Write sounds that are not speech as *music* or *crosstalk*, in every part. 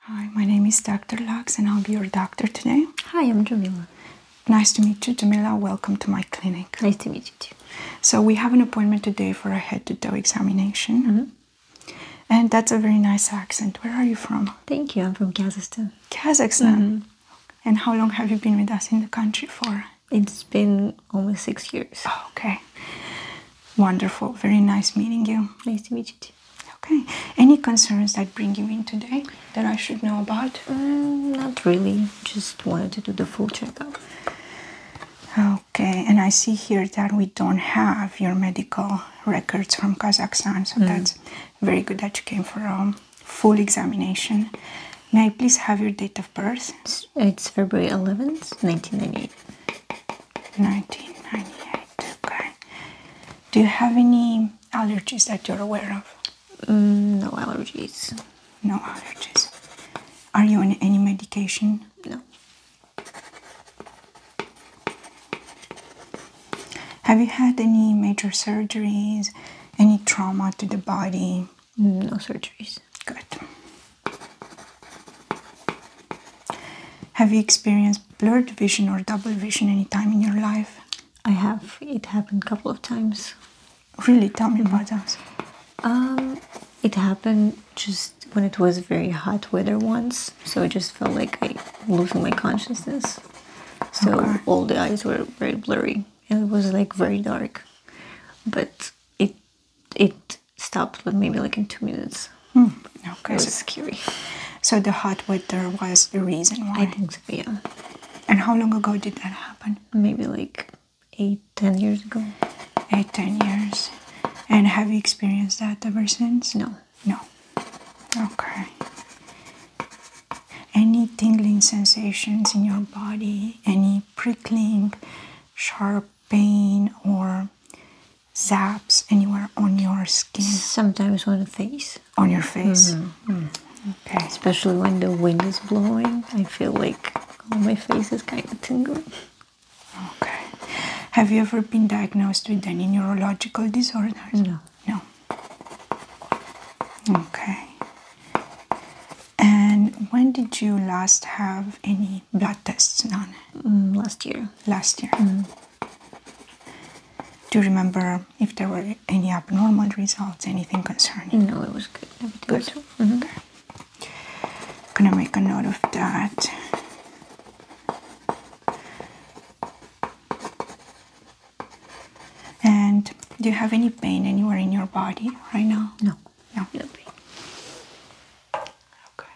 Hi, my name is Dr. Lux and I'll be your doctor today. Hi, I'm Jamila. Nice to meet you, Jamila. Welcome to my clinic. Nice to meet you too. So, we have an appointment today for a head to toe examination. Mm-hmm. And that's a very nice accent. Where are you from? Thank you. I'm from Kazakhstan. Kazakhstan. Mm-hmm. And how long have you been with us in the country for? It's been almost six years. okay. Wonderful. Very nice meeting you. Nice to meet you too. Okay. Any concerns that bring you in today that I should know about? Mm, not really. Just wanted to do the full checkup. Okay. And I see here that we don't have your medical records from Kazakhstan, so mm. that's very good that you came for a um, full examination. May I please have your date of birth? It's February 11th, 1998. 1998. Okay. Do you have any allergies that you're aware of? Mm, no allergies. No allergies. Are you on any medication? No. Have you had any major surgeries? Any trauma to the body? No surgeries. Good. Have you experienced blurred vision or double vision any time in your life? I have. It happened a couple of times. Really? Tell me about that. Um, it happened just when it was very hot weather once, so I just felt like I losing my consciousness. So all the eyes were very blurry and it was like very dark. But it it stopped like maybe like in two minutes. Hmm, okay, so the hot weather was the reason why. I think so, yeah. And how long ago did that happen? Maybe like eight, ten years ago. Eight, ten years. And have you experienced that ever since? No. No. Okay. Any tingling sensations in your body? Any prickling, sharp pain, or zaps anywhere on your skin? Sometimes on the face. On your face? Mm-hmm, mm-hmm. Okay. Especially when the wind is blowing, I feel like oh, my face is kind of tingling. Okay. Have you ever been diagnosed with any neurological disorders? No. No. Okay. And when did you last have any blood tests done? Mm, last year. Last year. Mm-hmm. Do you remember if there were any abnormal results, anything concerning? No, it was good. Everything good. Was, mm I'm gonna make a note of that. And do you have any pain anywhere in your body right now? No. No. pain. Okay.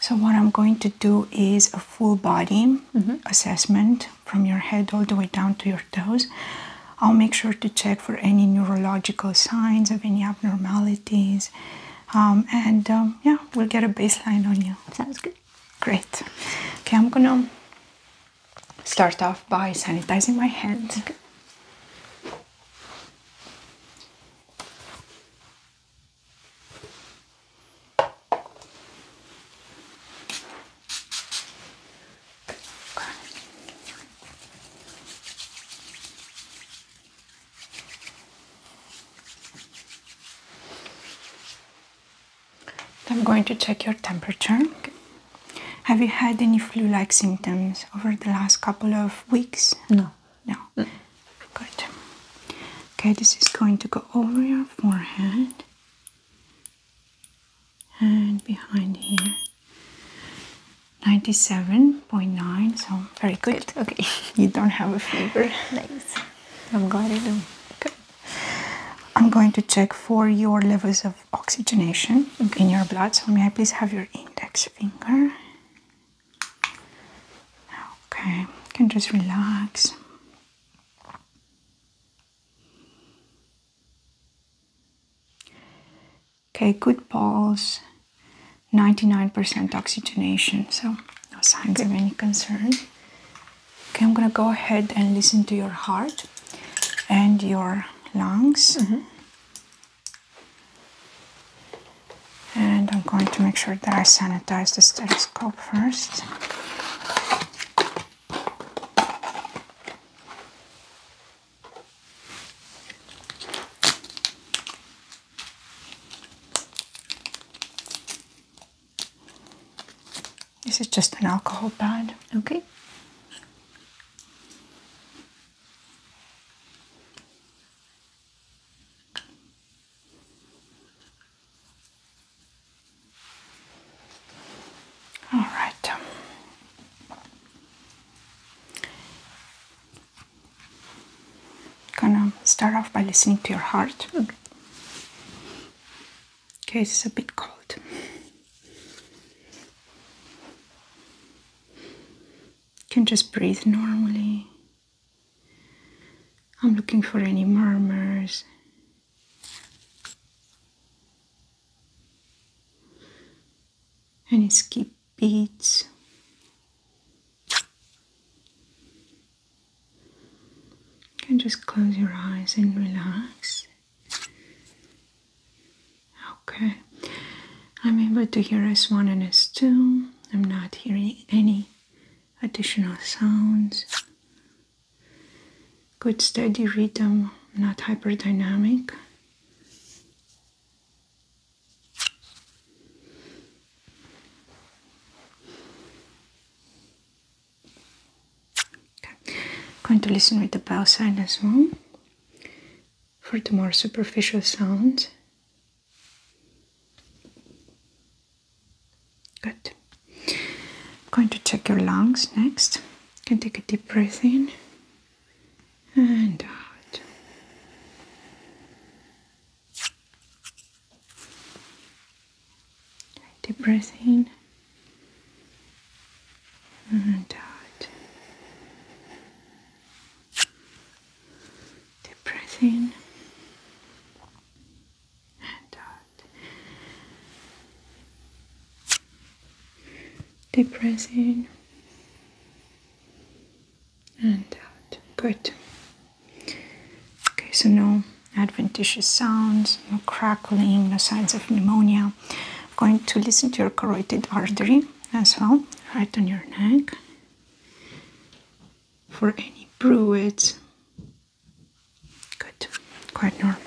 So what I'm going to do is a full body mm-hmm. assessment from your head all the way down to your toes. I'll make sure to check for any neurological signs of any abnormalities. Um, and um, yeah, we'll get a baseline on you. Sounds good. Great. Okay, I'm gonna start off by sanitizing my hands. I'm going to check your temperature. Have you had any flu-like symptoms over the last couple of weeks? No no. Good. Okay, this is going to go over your forehead and behind here. 97.9, so very good. Okay, *laughs* you don't have a fever. Nice. I'm glad I do. Okay. I'm going to check for your levels of oxygenation in your blood. So, may I please have your index finger? Okay, can just relax. Okay, good pulse, 99% oxygenation, so no signs of any concern. Okay, I'm gonna go ahead and listen to your heart and your lungs. Mm-hmm. And I'm going to make sure that I sanitize the stethoscope first. This is just an alcohol pad. Okay. All right. Gonna start off by listening to your heart. Okay, okay it's a bit cold can just breathe normally. I'm looking for any murmurs. Any skip beats. You can just close your eyes and relax. Okay. I'm able to hear S1 and S2. I'm not hearing any additional sounds. Good steady rhythm, not hyperdynamic. Okay. Going to listen with the bell sign as well for the more superficial sounds. Good. I'm going to check your lungs next. can take a deep breath in and out. Deep breath in and out. Deep breath in and out. Uh, Deep breath in and out. Uh, good. Okay, so no adventitious sounds, no crackling, no signs of pneumonia. I'm going to listen to your carotid artery as well, right on your neck for any bruise, Good, quite normal.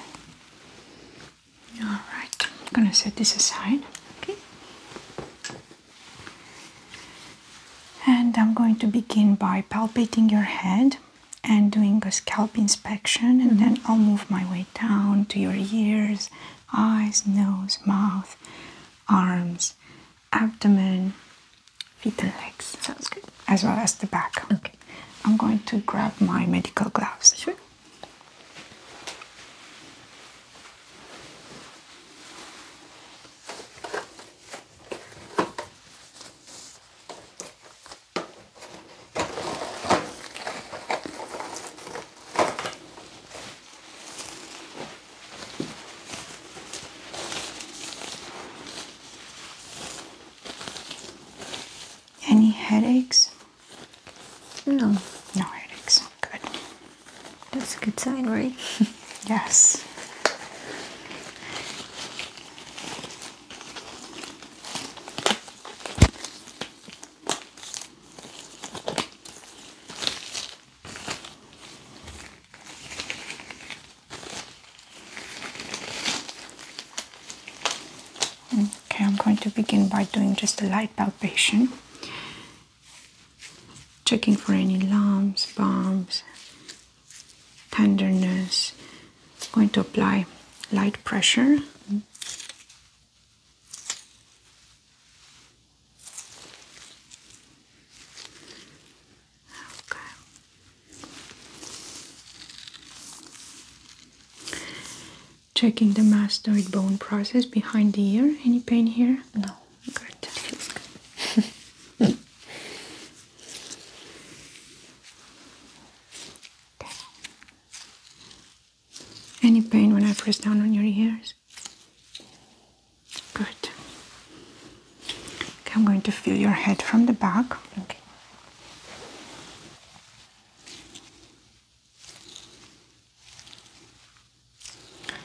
Alright, I'm gonna set this aside, okay? And I'm going to begin by palpating your head and doing a scalp inspection, and then mm-hmm. I'll move my way down to your ears, eyes, nose, mouth, arms, abdomen, feet and legs. Sounds good. As well as the back. Okay. I'm going to grab my medical gloves. Sure. Any headaches? No. No headaches. Good. That's a good sign, right? *laughs* yes. Okay, I'm going to begin by doing just a light palpation, checking for any lumps, bumps, tenderness. going to apply light pressure. Okay. Checking the mastoid bone process behind the ear. Any pain here? No. Good. That feels good. Any pain when I press down on your ears? Good. I'm going to feel your head from the back. Okay. right.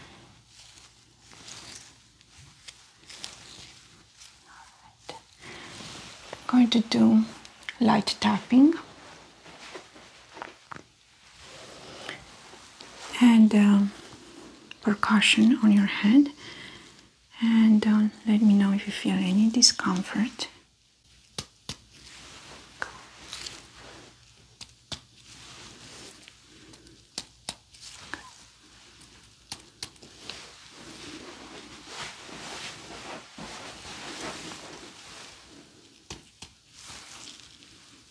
I'm going to do light tapping and um, percussion on your head and um, let me know if you feel any discomfort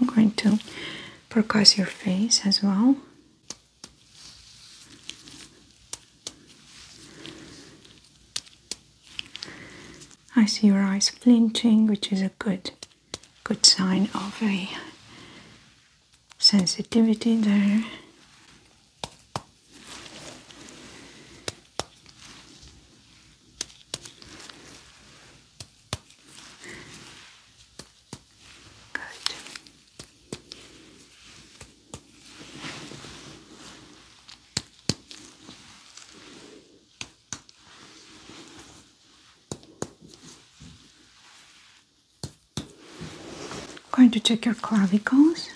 I'm going to percuss your face as well. I see your eyes flinching, which is a good good sign of a sensitivity there going to check your clavicles.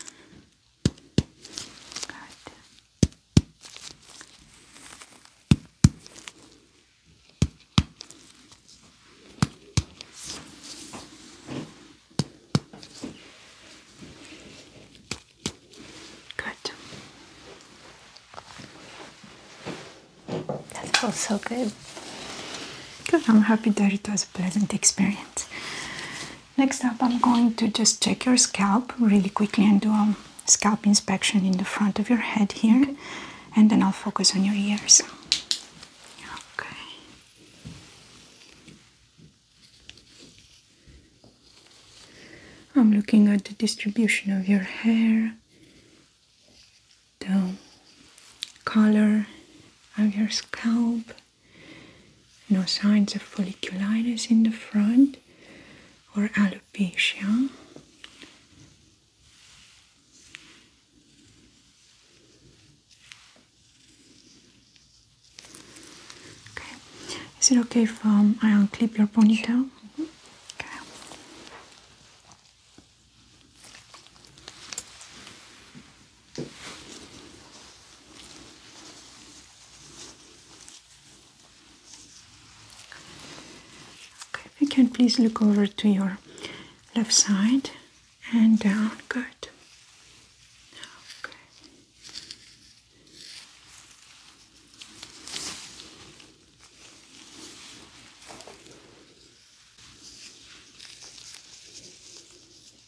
Good. That feels so good. Good. I'm happy that it does pleasant experience. Next up, I'm going to just check your scalp really quickly and do a scalp inspection in the front of your head here, and then I'll focus on your ears. Okay. I'm looking at the distribution of your hair, the color of your scalp. No signs of folliculitis in the front or alopecia. Okay. Is it okay if um, I unclip your ponytail? Mm-hmm. Okay, if can please look over to your left side and down. Good. Okay.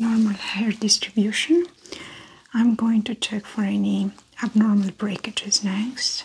Normal hair distribution. I'm going to check for any abnormal breakages next.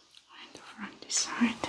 and from this side.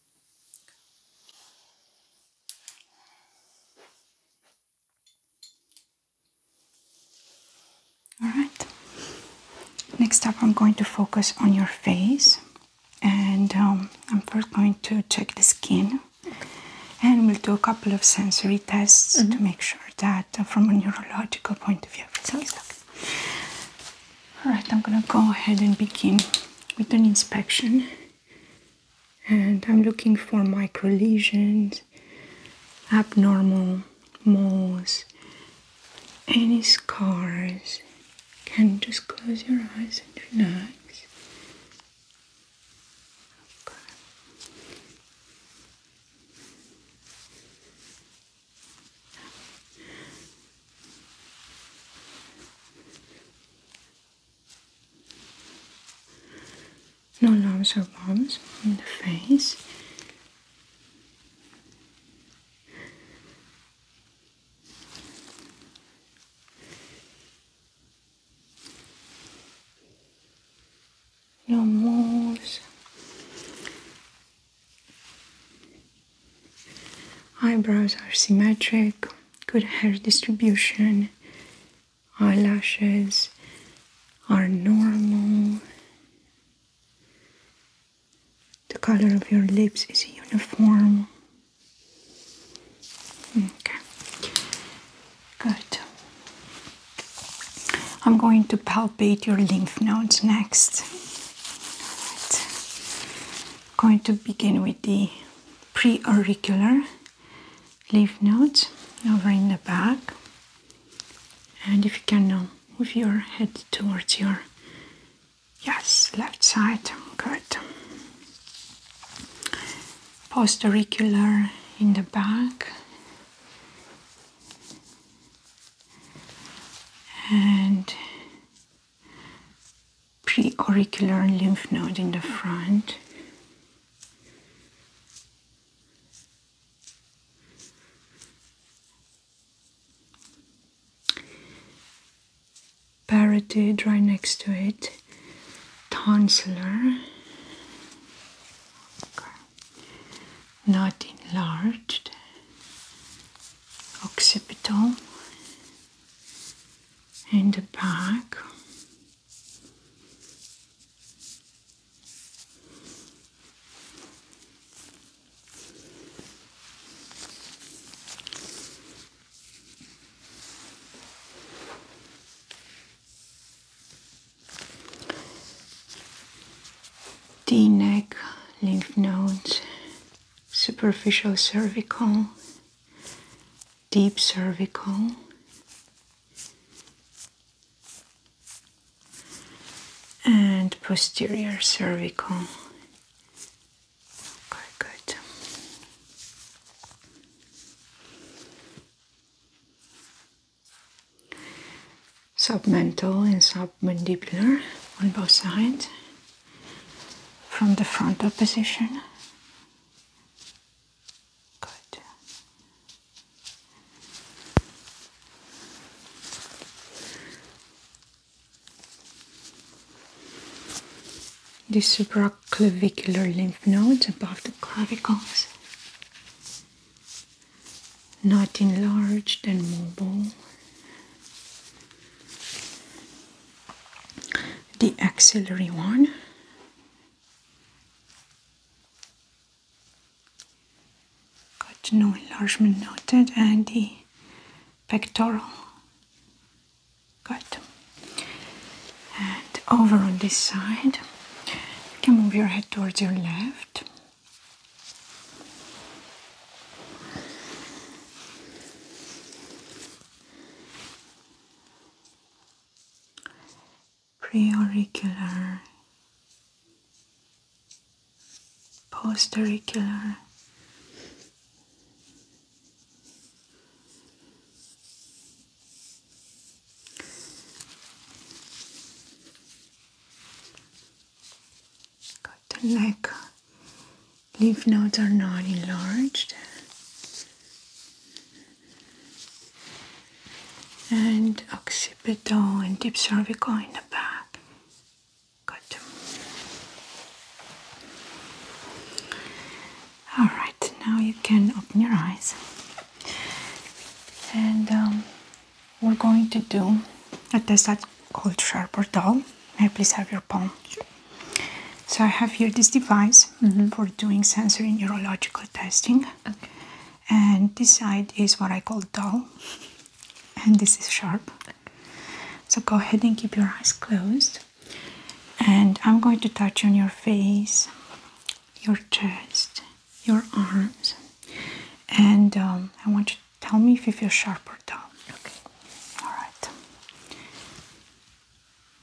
All right. Next up, I'm going to focus on your face, and um, I'm first going to check the skin, and we'll do a couple of sensory tests to mm-hmm. make sure that, uh, from a neurological point of view, everything okay. All right. I'm gonna go ahead and begin with an inspection and I'm looking for micro lesions, abnormal moles, any scars. Can just close your eyes and relax. No lumps or bumps in the face. No moles, eyebrows are symmetric good hair distribution, eyelashes are normal, the color of your lips is uniform. Okay, good. I'm going to palpate your lymph nodes next. going to begin with the preauricular leaf nodes over in the back. And if you can um, move your head towards your yes, left side. Good. Post auricular in the back. And preauricular lymph node in the front. Parotid right next to it, tonsil, not enlarged, occipital, and the back. The neck, lymph nodes, superficial cervical, deep cervical. And posterior cervical. Okay, good. Submental and submandibular on both sides from the frontal position. Good. supraclavicular lymph nodes above the clavicles, not enlarged and mobile the axillary one got no enlargement noted and the pectoral got. and over on this side you can move your head towards your left preauricular, postauricular. Got the neck. Leaf nodes are not enlarged and occipital and deep cervical in the back. Good. All right, now you can open your eyes, and um, we're going to do a test that's called sharp or dull. May I please have your palm? So I have here this device mm-hmm. for doing sensory neurological testing. And this side is what I call dull, and this is sharp. So go ahead and keep your eyes closed. And I'm going to touch on your face, your chest, your arms, and um, I want you to tell me if you feel sharp or dull. Okay. All right.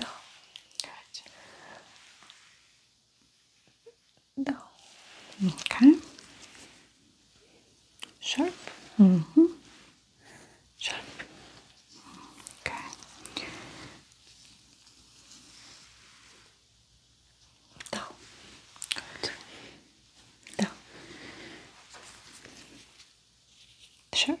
down, gotcha. Down. Okay. Sharp. Mm -hmm. Sharp. Okay. Down. Good. Down. Sharp.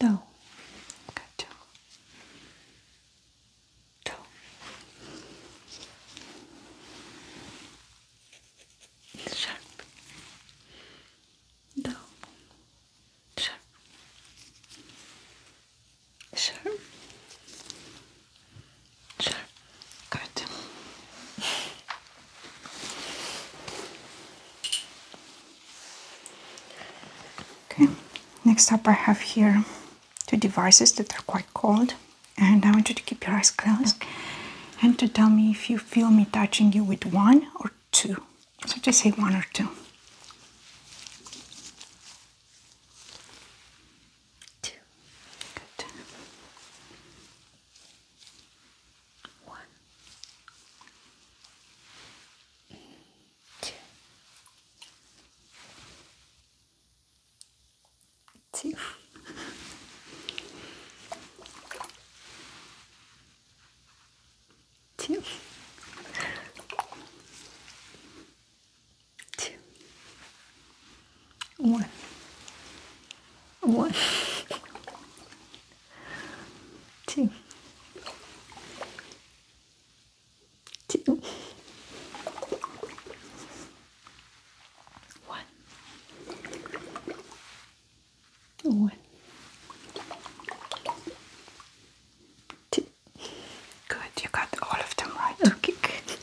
No. Got to. Toe. No. Sharp. Sharp. Sharp. Good. Okay, next up I have here two devices that are quite cold, and I want you to keep your eyes closed and to tell me if you feel me touching you with one or two. So just say one or two. Two. Good one eight two two two one one two, two, one, one, two. Good, you got all of them right. Okay, *laughs*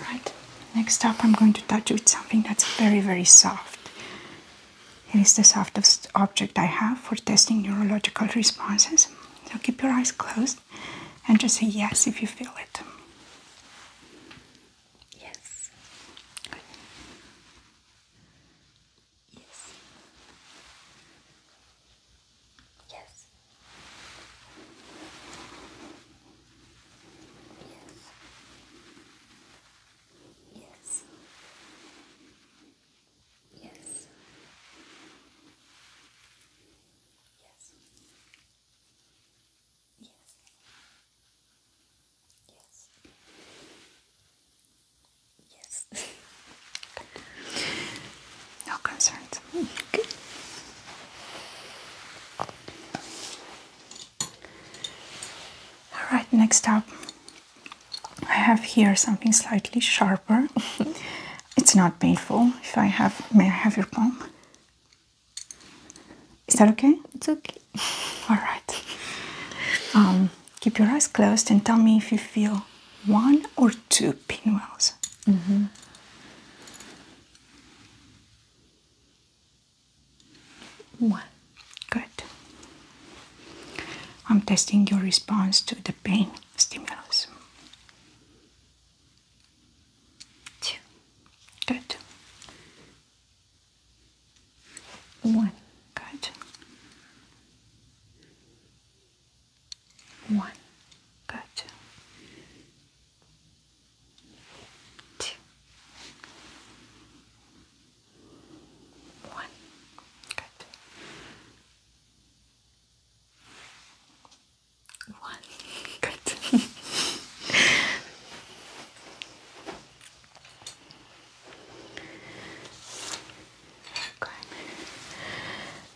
Alright, next up I'm going to touch with something that's very, very soft. It is the softest object I have for testing neurological responses. So keep your eyes closed and just say yes if you feel it. Yes. Yes. Yes. Yes. Yes. Yes. Yes. Yes. Yes. no concerns. Perfect. All right, next up, I have here something slightly sharper. *laughs* it's not painful. If I have, may I have your palm? Is that okay? It's okay. *laughs* All right. Um, keep your eyes closed and tell me if you feel one or two pinwheels. Mm-hmm. One. Good. I'm testing your response to the pain stimulus. Two. Good. One. Good. One. Good two, one. Good. One. Good. okay.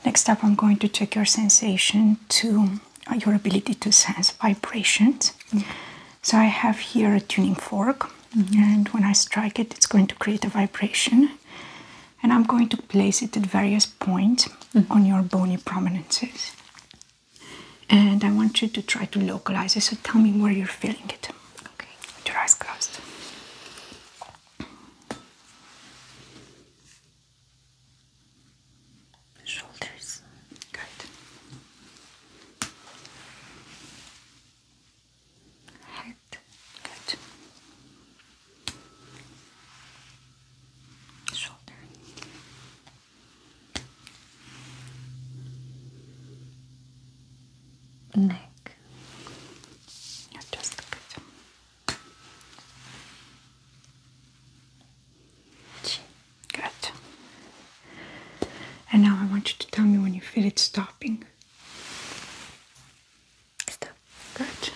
Next up, I'm going to check your sensation to uh, your ability to sense vibrations. So I have here a tuning fork, mm-hmm. and when I strike it, it's going to create a vibration. And I'm going to place it at various points mm-hmm. on your bony prominences. And I want you to try to localize it. So tell me where you're feeling it. Okay. With your eyes closed shoulders. Good. Head. Good. Shoulder. Neck. just good. Good. And now I want you to tell me when you feel it stopping. Stop. Good.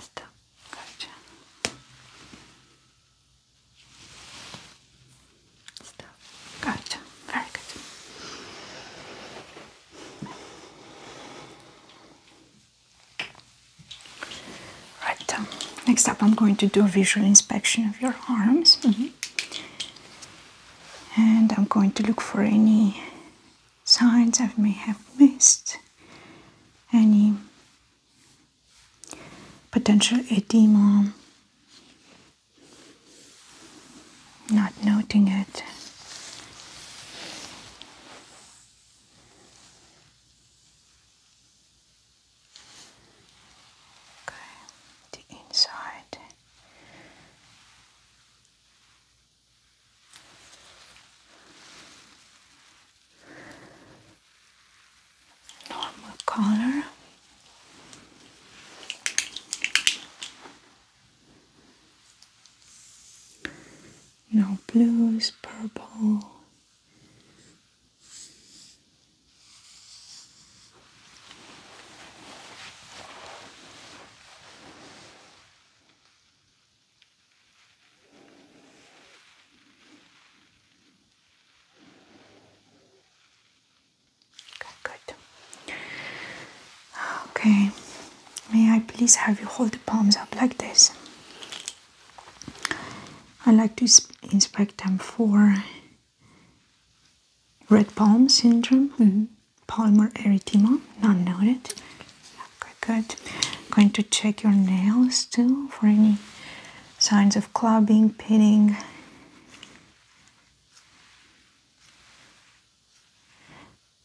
Stop. Good. Stop. Good. Very good. Right, um, next up I'm going to do a visual inspection of your arms. Mm-hmm. And I'm going to look for any signs I may have missed, any potential edema, not noting it. Okay, the inside. Normal color you blues, purple. Okay, good. Okay, may I please have you hold the palms up like this? I like to inspect them for red palm syndrome, mm-hmm. palmar erythema, not noted. good. going to check your nails too for any signs of clubbing, pitting.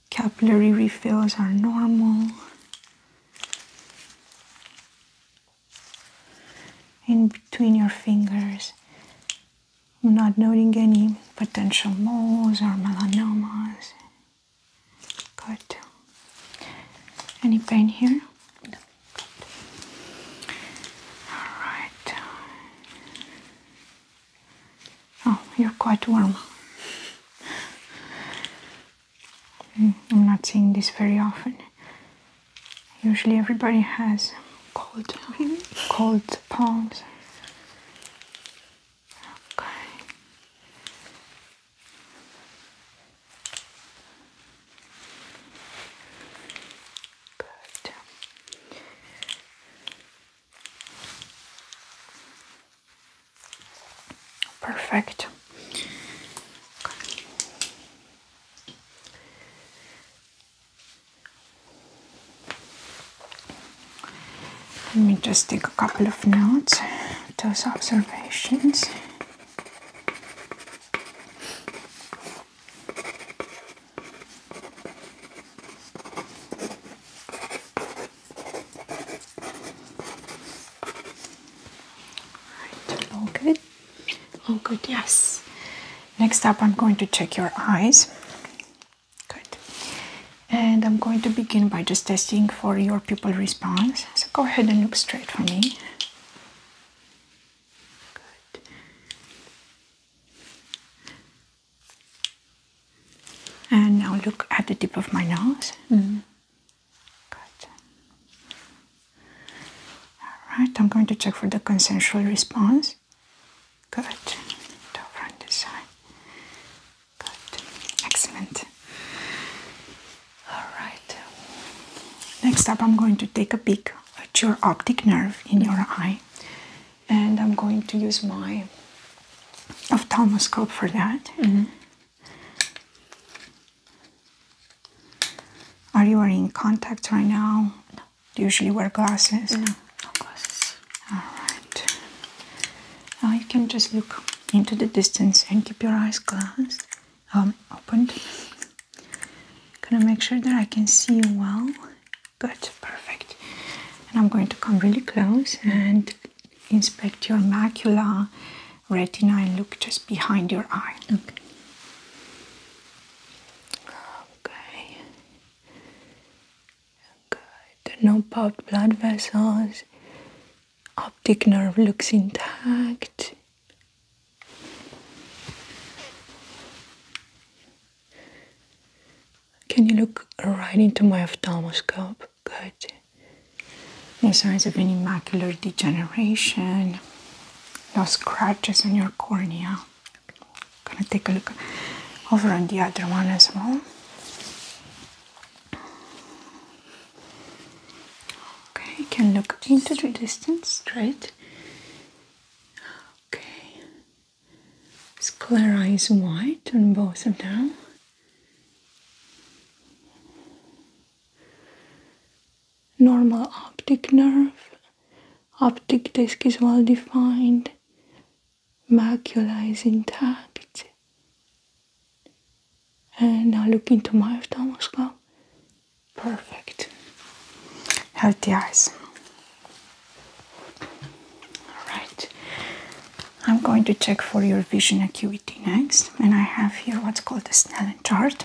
Capillary refills are normal. In between your fingers, I'm not noting any potential moles or melanomas. Good. Any pain here? No. All right. Oh, you're quite warm. Mm, I'm not seeing this very often. Usually everybody has cold, *laughs* cold palms. Okay. Good. Perfect. Let me just take a couple of notes, those observations. Right, all good. All good, yes. Next up, I'm going to check your eyes. Good. And I'm going to begin by just testing for your pupil response. So go ahead and look straight for me. Good. And now look at the tip of my nose. Mm-hmm. Good. Alright, I'm going to check for the consensual response. Good. Over on this side. Good. Excellent. Alright. Next up, I'm going to take a peek at your optic nerve in your mm-hmm. eye. And I'm going to use my of ophthalmoscope for that. Mm-hmm. Are you in contact right now? No. Do you usually wear glasses? No, no glasses. Alright. Now you can just look into the distance and keep your eyes closed, um, opened. Gonna make sure that I can see you well. Good, perfect. And I'm going to come really close and inspect your macula, retina, and look just behind your eye. Okay. Okay. Good. No popped blood vessels. Optic nerve looks intact. Can you look right into my ophthalmoscope? good. No signs of any macular degeneration. No scratches on your cornea. Gonna take a look over on the other one as well. Okay, you can look into the distance straight. Okay. Sclera is white on both of them normal optic nerve, optic disc is well defined, macula is intact. And now look into my ophthalmoscope. Perfect. Healthy eyes. Alright. I'm going to check for your vision acuity next, and I have here what's called a Snellen chart.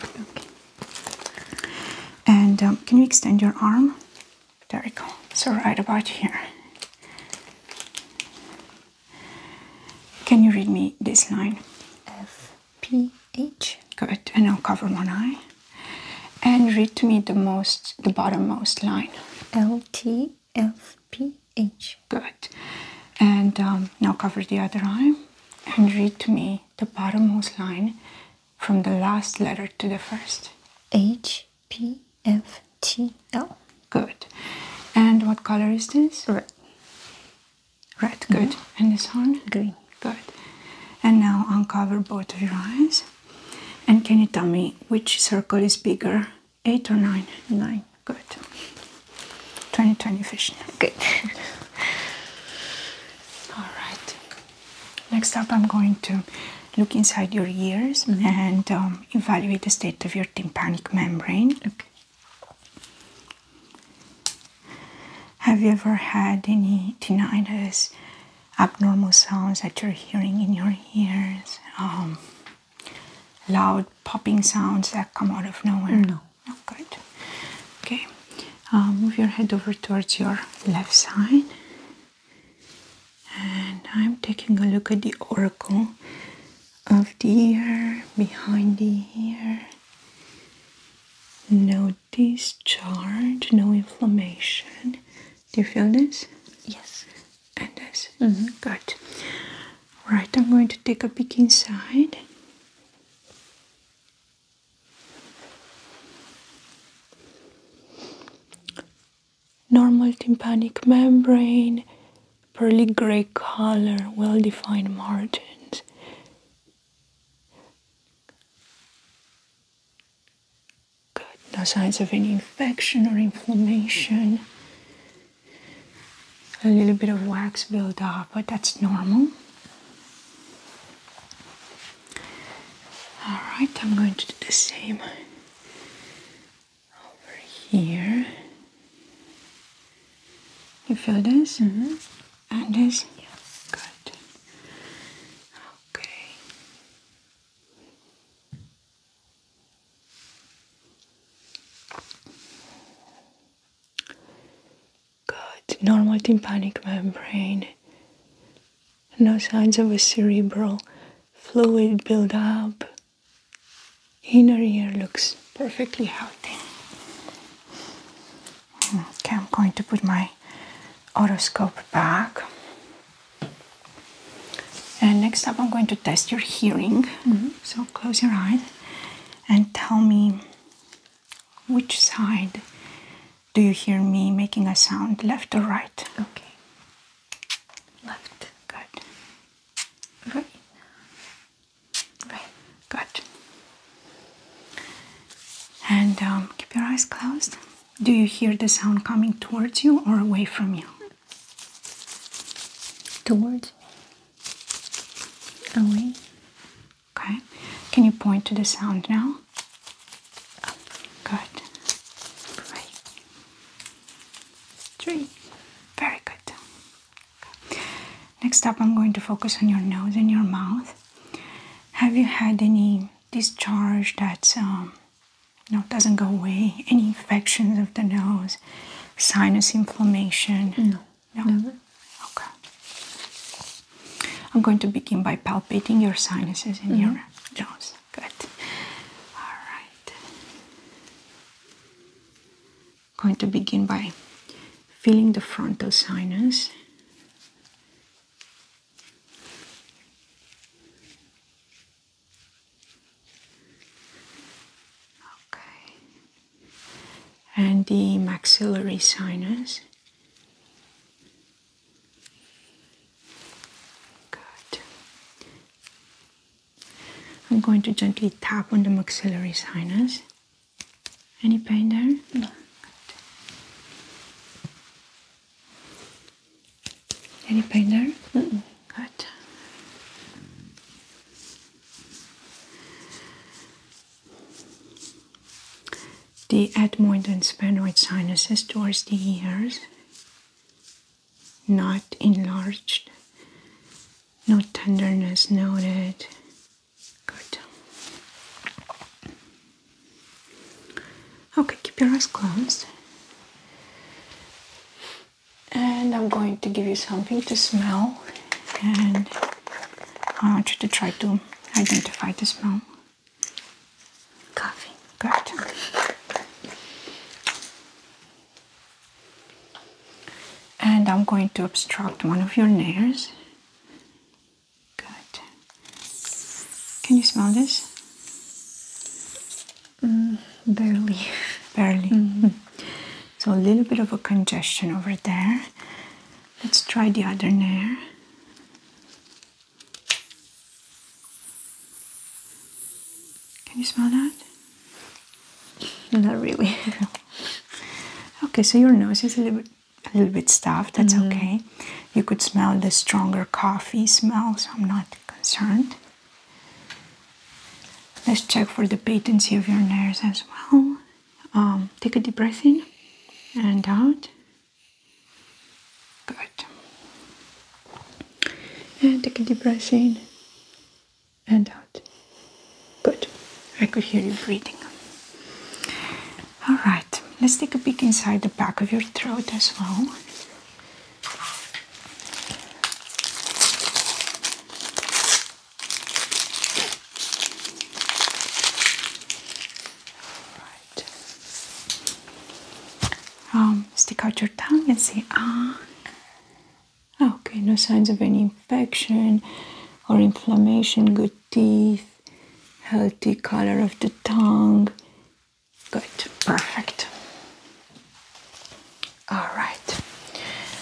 And um, can you extend your arm? There we go. So right about here. Can you read me this line? F P H. Good. And I'll cover one eye. And read to me the most, the bottom most line. L T LPH. Good. And um, now cover the other eye and read to me the bottommost line from the last letter to the first. H P F T L. Good. And what color is this? Red. Red, good. Mm-hmm. And this one? Green. Good. And now uncover both of your eyes. And can you tell me which circle is bigger Eight or nine? Nine. Good. 2020 vision. Good. *laughs* All right. Next up, I'm going to look inside your ears mm-hmm. and um, evaluate the state of your tympanic membrane. Okay. Have you ever had any tinnitus, abnormal sounds that you're hearing in your ears? Um, loud popping sounds that come out of nowhere? No. No, good. Okay, uh, move your head over towards your left side. And I'm taking a look at the oracle of the ear, behind the ear. No discharge, no inflammation. Do you feel this? Yes and this. Mm-hmm. Good. Right, I'm going to take a peek inside. Normal tympanic membrane, pearly gray color, well defined margins. Good, no signs of any infection or inflammation a little bit of wax build up, but that's normal. All right, I'm going to do the same over here. You feel this? Mm-hmm. And this? Yeah. Good. Okay. Good, normal tympanic membrane. No signs of a cerebral fluid buildup. Inner ear looks perfectly healthy. Okay, I'm going to put my otoscope back. And next up, I'm going to test your hearing. Mm-hmm. So close your eyes and tell me which side do you hear me making a sound, left or right? Okay. Left. Good. Right. Right. Good. And um, keep your eyes closed. Do you hear the sound coming towards you or away from you? towards me, away. Okay, can you point to the sound now? Up, good, right, very good. Next up, I'm going to focus on your nose and your mouth. Have you had any discharge that's um, no, know, doesn't go away. Any infections of the nose, sinus inflammation. No. Never. Okay. I'm going to begin by palpating your sinuses in your nose. Mm-hmm. Good. All going to begin by feeling the frontal sinus. Okay. And the maxillary sinus. Good. I'm going to gently tap on the maxillary sinus. Any pain there? No. Any pain there? Mm Good. The admoid and sphenoid sinuses towards the ears, not enlarged, no tenderness noted. Good. Okay, keep your eyes closed and I'm going to give you something to smell and I want you to try to identify the smell. Coffee. Good. And I'm going to obstruct one of your nares. Good. Can you smell this? barely. Barely. Mm-hmm. *laughs* So a little bit of a congestion over there. Let's try the other nare. Can you smell that? *laughs* Not really. *laughs* okay, so your nose is a little bit, a little bit stuffed. That's mm-hmm. okay. You could smell the stronger coffee smell, so I'm not concerned. Let's check for the patency of your nerves as well. Um, take a deep breath in and out. Good. And take a deep breath in and out. Good. I could hear you breathing. All right. Let's take a peek inside the back of your throat as well. Um, stick out your tongue and say ah. Okay, no signs of any infection or inflammation. Good teeth, healthy color of the tongue. Good, perfect. All right.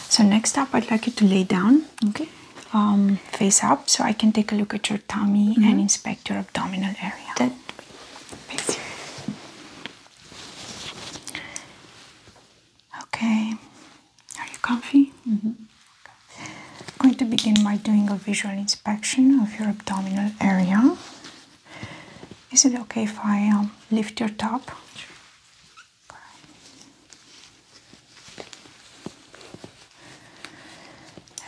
So next up, I'd like you to lay down. Okay. Um, face up, so I can take a look at your tummy and mm-hmm. inspect your abdominal area. Okay. Are you comfy? I'm mm-hmm. going to begin by doing a visual inspection of your abdominal area. Is it okay if I um, lift your top?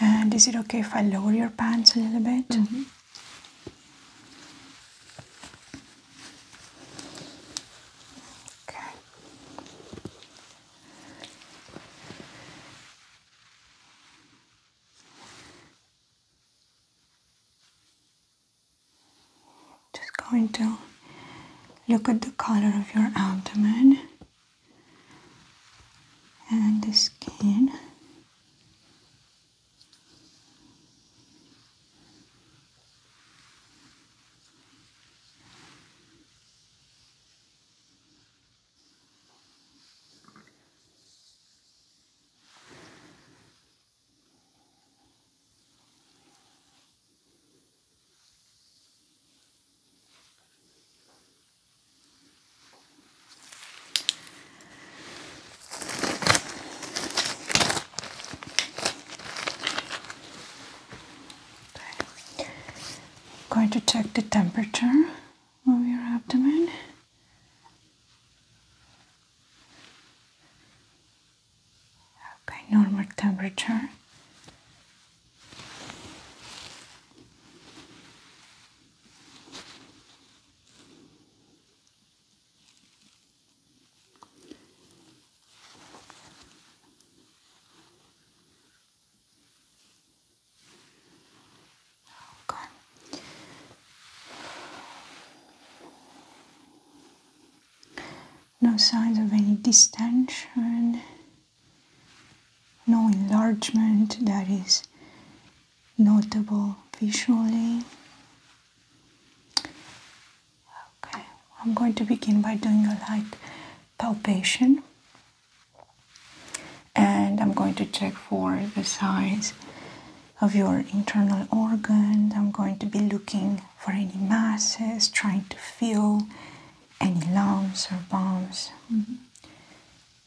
And is it okay if I lower your pants a little bit? Mm-hmm. Okay. Just going to look at the color of your abdomen and the skin going to check the temperature of your abdomen. Okay, normal temperature. Okay no signs of any distension, no enlargement that is notable visually. Okay, I'm going to begin by doing a light palpation and I'm going to check for the size of your internal organs, I'm going to be looking for any masses, trying to feel any lumps or bumps. Mm -hmm.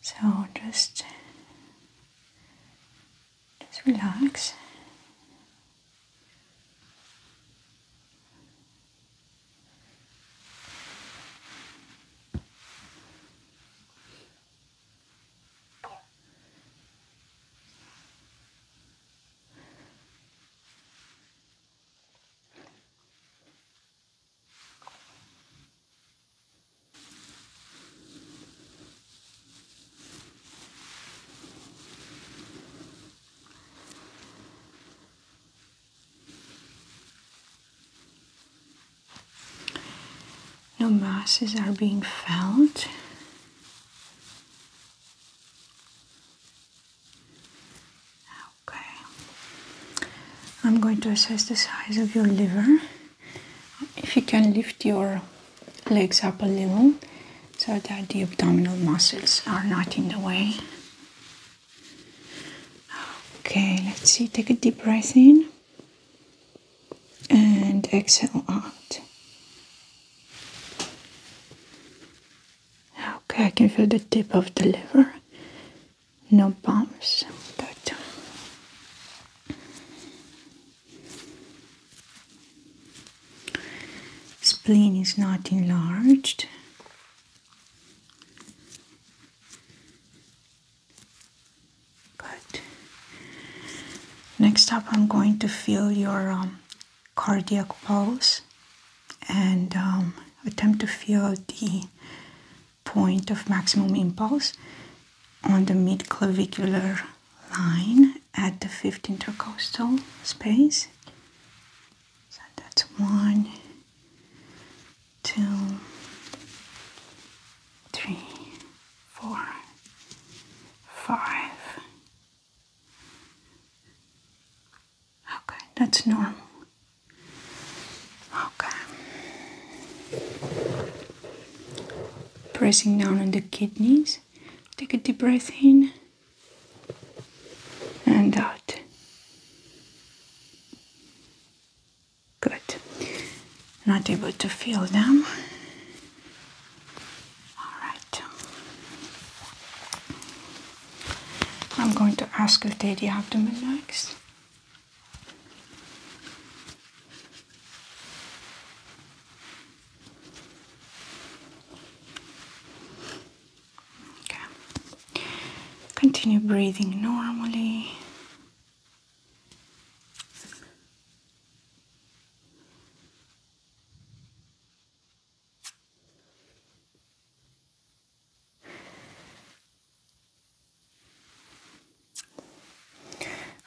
So just, just relax. No masses are being felt Okay, I'm going to assess the size of your liver. If you can lift your legs up a little so that the abdominal muscles are not in the way. Okay, let's see. Take a deep breath in and exhale out. Okay, I can feel the tip of the liver. No bumps. Uh, spleen is not enlarged. Good. Next up, I'm going to feel your um, cardiac pulse and um, attempt to feel the point of maximum impulse on the mid-clavicular line at the fifth intercostal space. So that's one, two, three, four, five, Okay, that's normal. Okay. Pressing down on the kidneys. Take a deep breath in and out. Good. Not able to feel them. Alright. I'm going to ask you. auscultate the abdomen next. Okay. Continue breathing normally.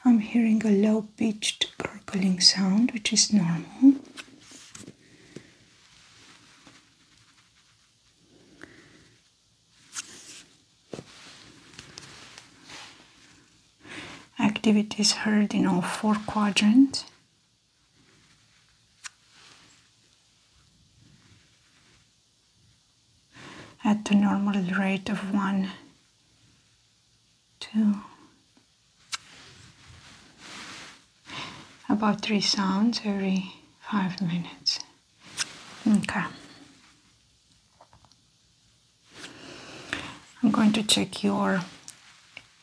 I'm hearing a low pitched gurgling sound, which is normal. Activities heard in all four quadrants. at the normal rate of 1, 2, about 3 sounds every 5 minutes. Okay. I'm going to check your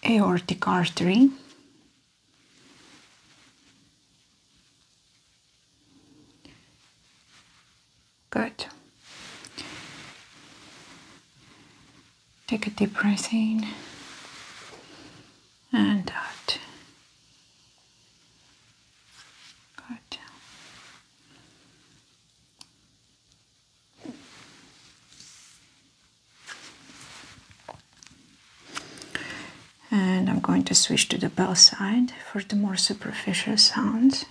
aortic artery. Good. Take a deep breath in and out. Good. And I'm going to switch to the bell side for the more superficial sounds.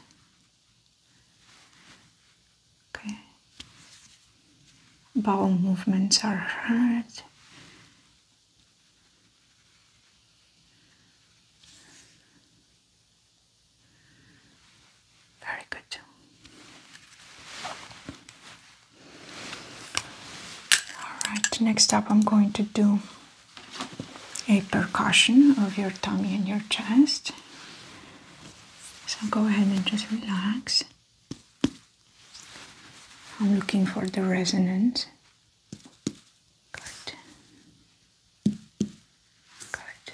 Okay. Bowel movements are heard. Very good. Alright, next up I'm going to do a percussion of your tummy and your chest. So go ahead and just relax. I'm looking for the resonance. Good. Good.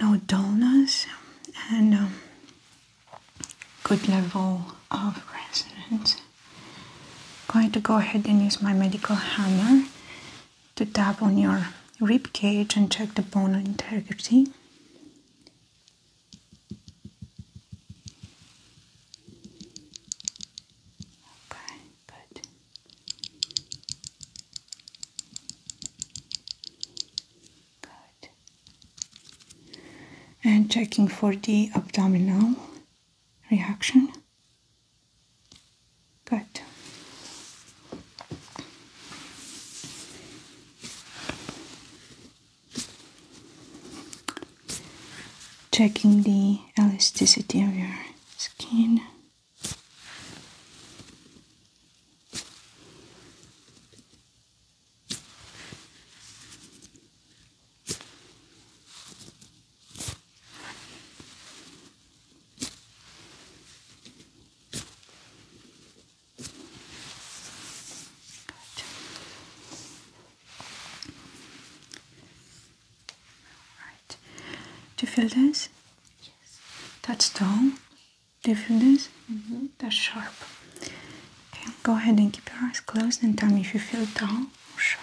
no dullness and um, good level of resonance. Going to go ahead and use my medical hammer to tap on your rib cage and check the bone integrity. Okay. Good. Good. And checking for the abdominal reaction. Good. Checking the elasticity of your skin. Good. Right. Do you feel this? Yes. That's dull. Do you feel this? Mm-hmm. That's sharp. go ahead and keep your eyes closed and tell me if you feel dull or sharp.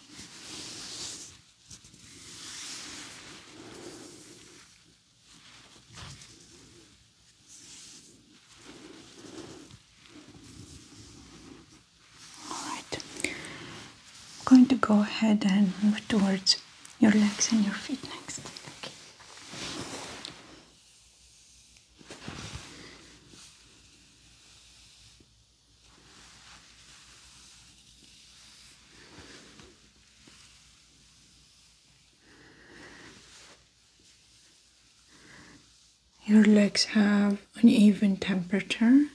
All right. I'm going to go ahead and move towards your legs and your feet next. Your legs have an even temperature,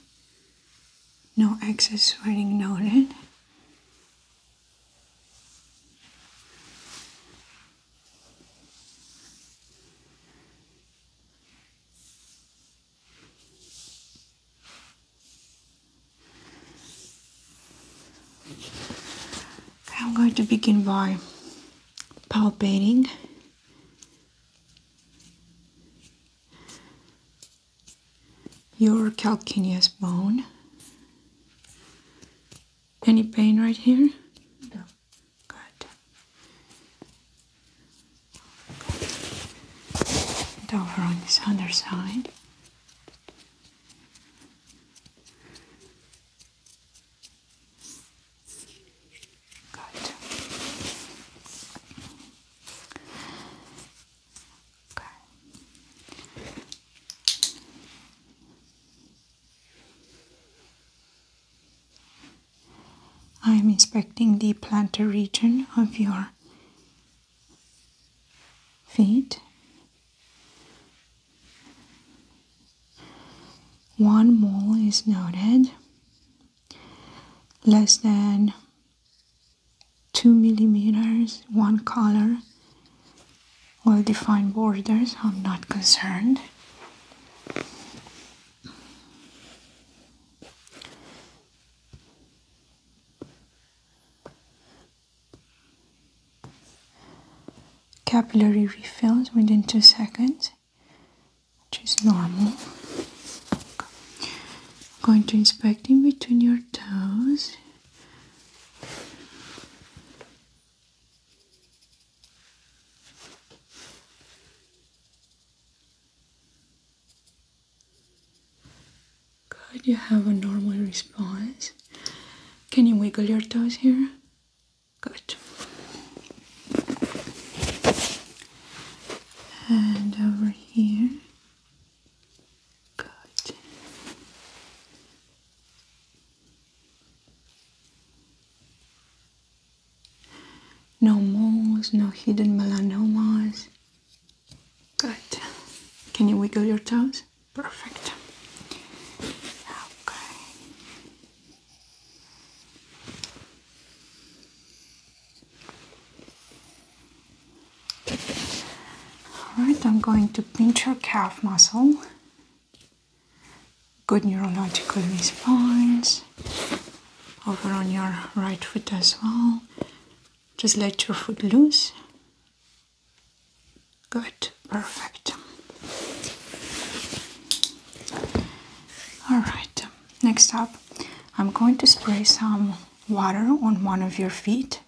no excess sweating noted. I'm going to begin by palpating your calcaneus bone. Any pain right here? No. Good. And over on this other side. Good. Okay. I'm inspecting the plantar region of your feet. One mole is noted, less than two millimeters, one color, well defined borders. I'm not concerned. Capillary refills within two seconds, which is normal. going to inspect in between your toes. Good, you have a normal response. Can you wiggle your toes here? Good. And over here. Good. No moles, no hidden melanomas. Good. Can you wiggle your toes? Perfect. Okay. All right, I'm going to pinch your calf muscle. Good neurological response over on your right foot as well. Just let your foot loose. Good, perfect. Alright, next up, I'm going to spray some water on one of your feet.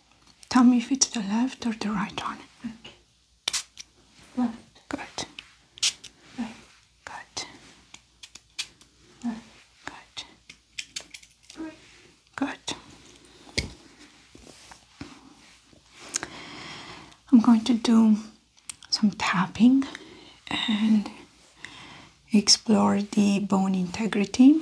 Tell me if it's the left or the right one. Left. Good. Good. Good. Good. I'm going to do some tapping and explore the bone integrity.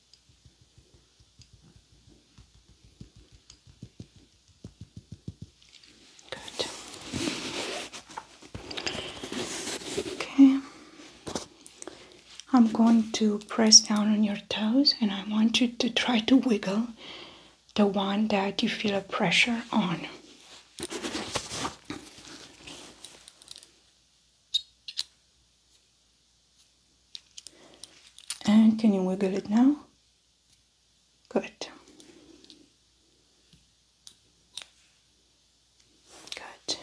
Good. Okay. I'm going to press down on your toes and I want you to try to wiggle the one that you feel a pressure on. And can you wiggle it now? Good. Good.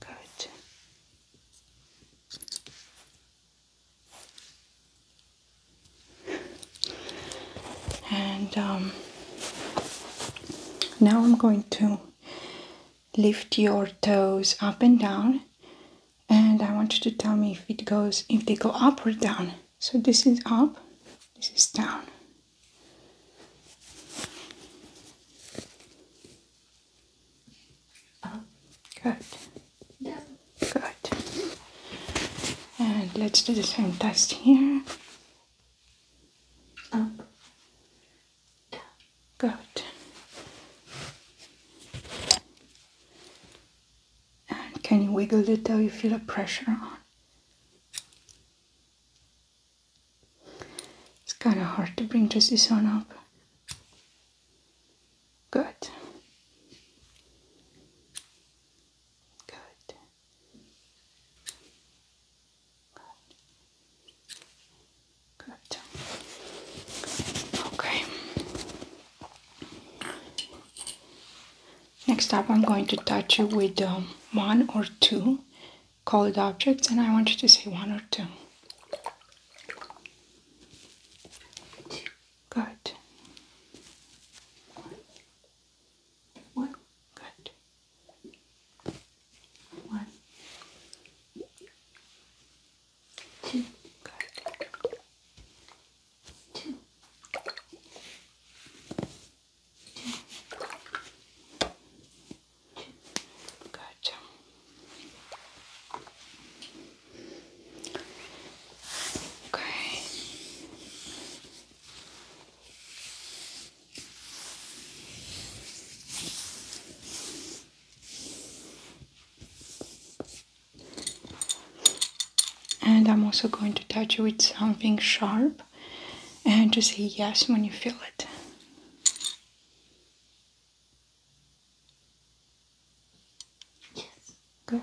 Good and um, now I'm going to lift your toes up and down and I want you to tell me if it goes if they go up or down so this is up this is down up good good and let's do the same test here. Up. Good. And can you wiggle it till you feel a pressure It's kind of hard to bring just this one up. Good. Good. Good. Good. Okay. Next up, I'm going to touch you with um, one or two colored objects, and I want you to say one or two. Good. One. Good. One. Two. Good. Two. Two. Two. Okay. And I'm also going to touch you with something sharp and to say yes when you feel it. Yes. Good.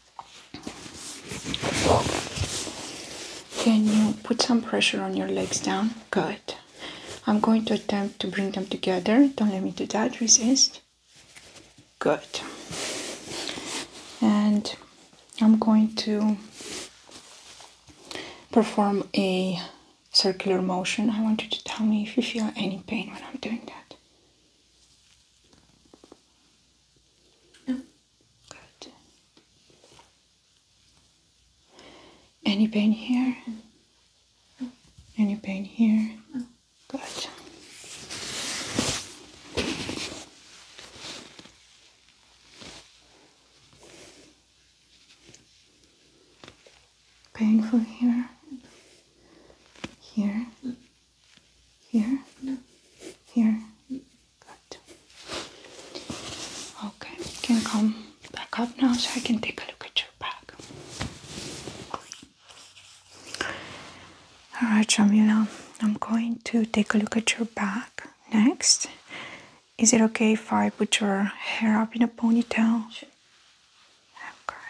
Can you put some pressure on your legs down? Good. I'm going to attempt to bring them together. Don't let me do that. Resist. Good. And I'm going to perform a circular motion. I want you to tell me if you feel any pain when I'm doing that. No. Good. Any pain here? Any pain here? No. Good. Painful here? Here? Here? Here? Okay, you can come back up now so I can take a look at your back. Alright, Jamila, I'm going to take a look at your back next. Is it okay if I put your hair up in a ponytail? Sure. Okay.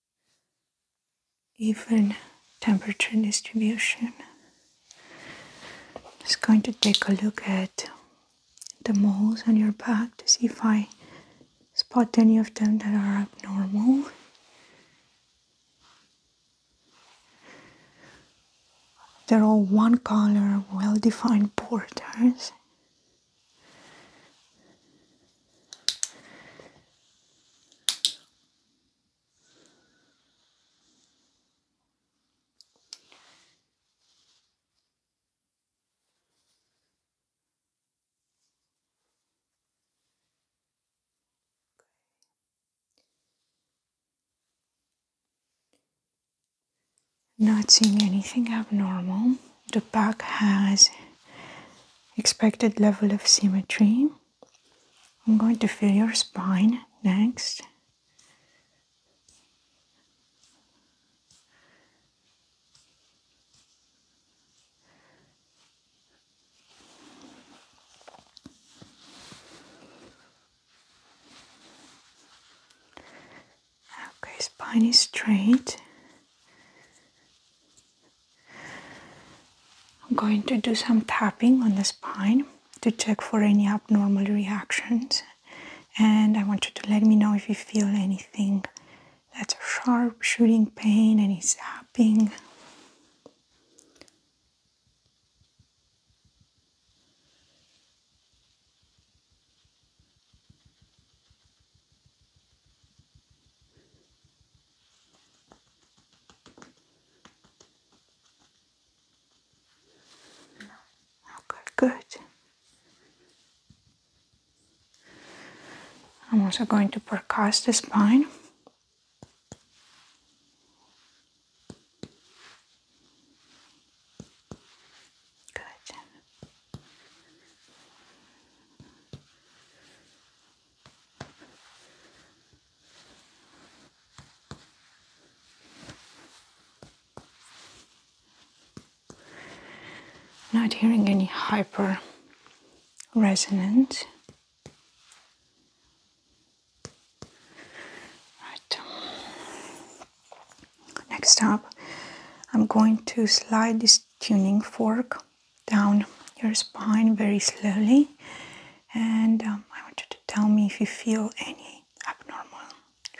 even temperature distribution. I'm just going to take a look at the moles on your back to see if I spot any of them that are abnormal. They're all one color, well defined borders. Not seeing anything abnormal the back has expected level of symmetry. I'm going to feel your spine next. Okay, spine is straight. I'm going to do some tapping on the spine to check for any abnormal reactions. And I want you to let me know if you feel anything that's sharp, shooting pain, any zapping. Okay, good. I'm also going to percuss the spine. Good. Not hearing any hyper resonance. Right. Next up, I'm going to slide this tuning fork down your spine very slowly, and um, I want you to tell me if you feel any abnormal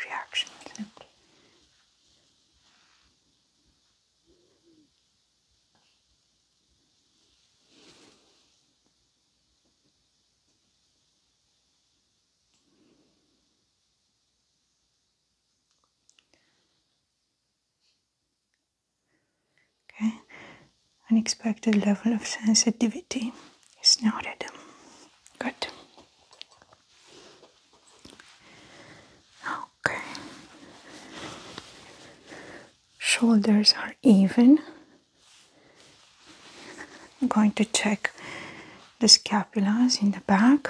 reactions. Okay, unexpected level of sensitivity is noted. Good. Okay, shoulders are even. I'm going to check the scapulas in the back.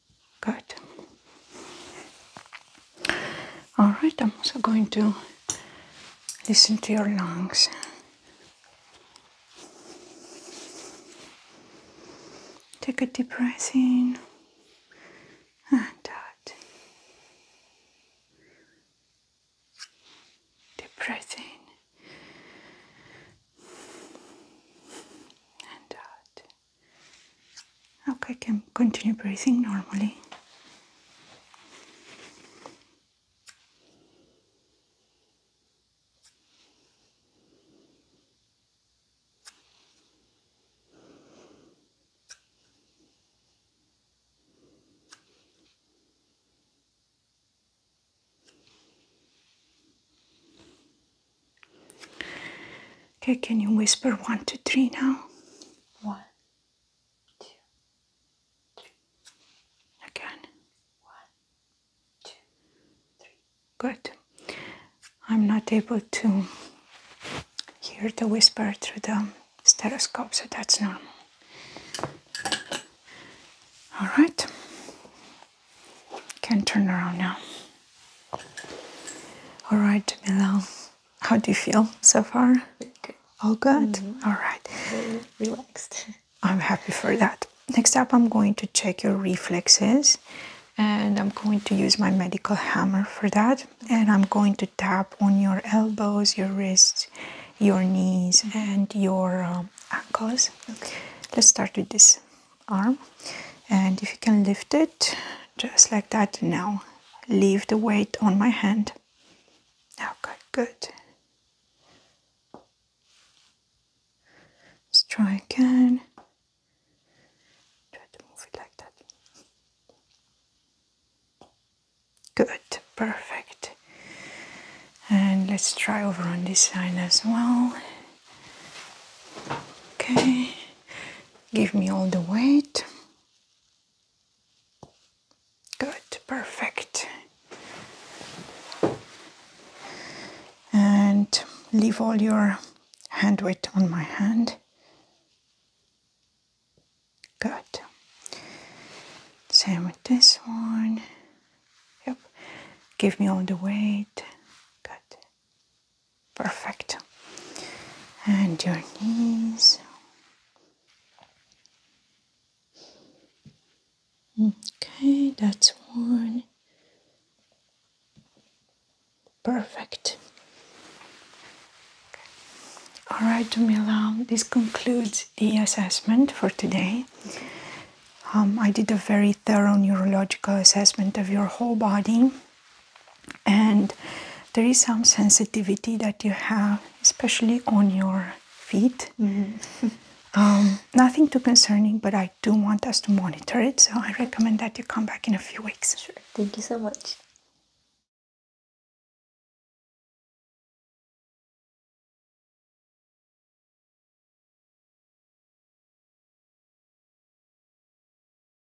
Good. All right, I'm also going to listen to your lungs. Take a deep breath in and out. Deep breath in and out. Okay, can continue breathing normally. Okay, can you whisper one, two, three now? One, two, three. Again. One, two, three. Good. I'm not able to hear the whisper through the stethoscope, so that's normal. All right. Can turn around now. All right, Bilal. How do you feel so far? All good? Mm-hmm. All right. Very relaxed. I'm happy for that. Next up, I'm going to check your reflexes and I'm going to use my medical hammer for that. And I'm going to tap on your elbows, your wrists, your knees, mm-hmm. and your um, ankles. Let's start with this arm. And if you can lift it just like that now leave the weight on my hand. Okay, oh, good. Let's try again. Try to move it like that. Good, perfect. And let's try over on this side as well. Okay, Give me all the weight. Good, perfect. And leave all your hand weight on my hand. Good. Same with this one. Yep. Give me all the weight. Good. Perfect. And your knees. Okay, that's one. Perfect. All right, Dumila, this concludes the assessment for today. Um, I did a very thorough neurological assessment of your whole body and there is some sensitivity that you have, especially on your feet. Mm-hmm. *laughs* Um, nothing too concerning, but I do want us to monitor it, so I recommend that you come back in a few weeks. Sure, thank you so much.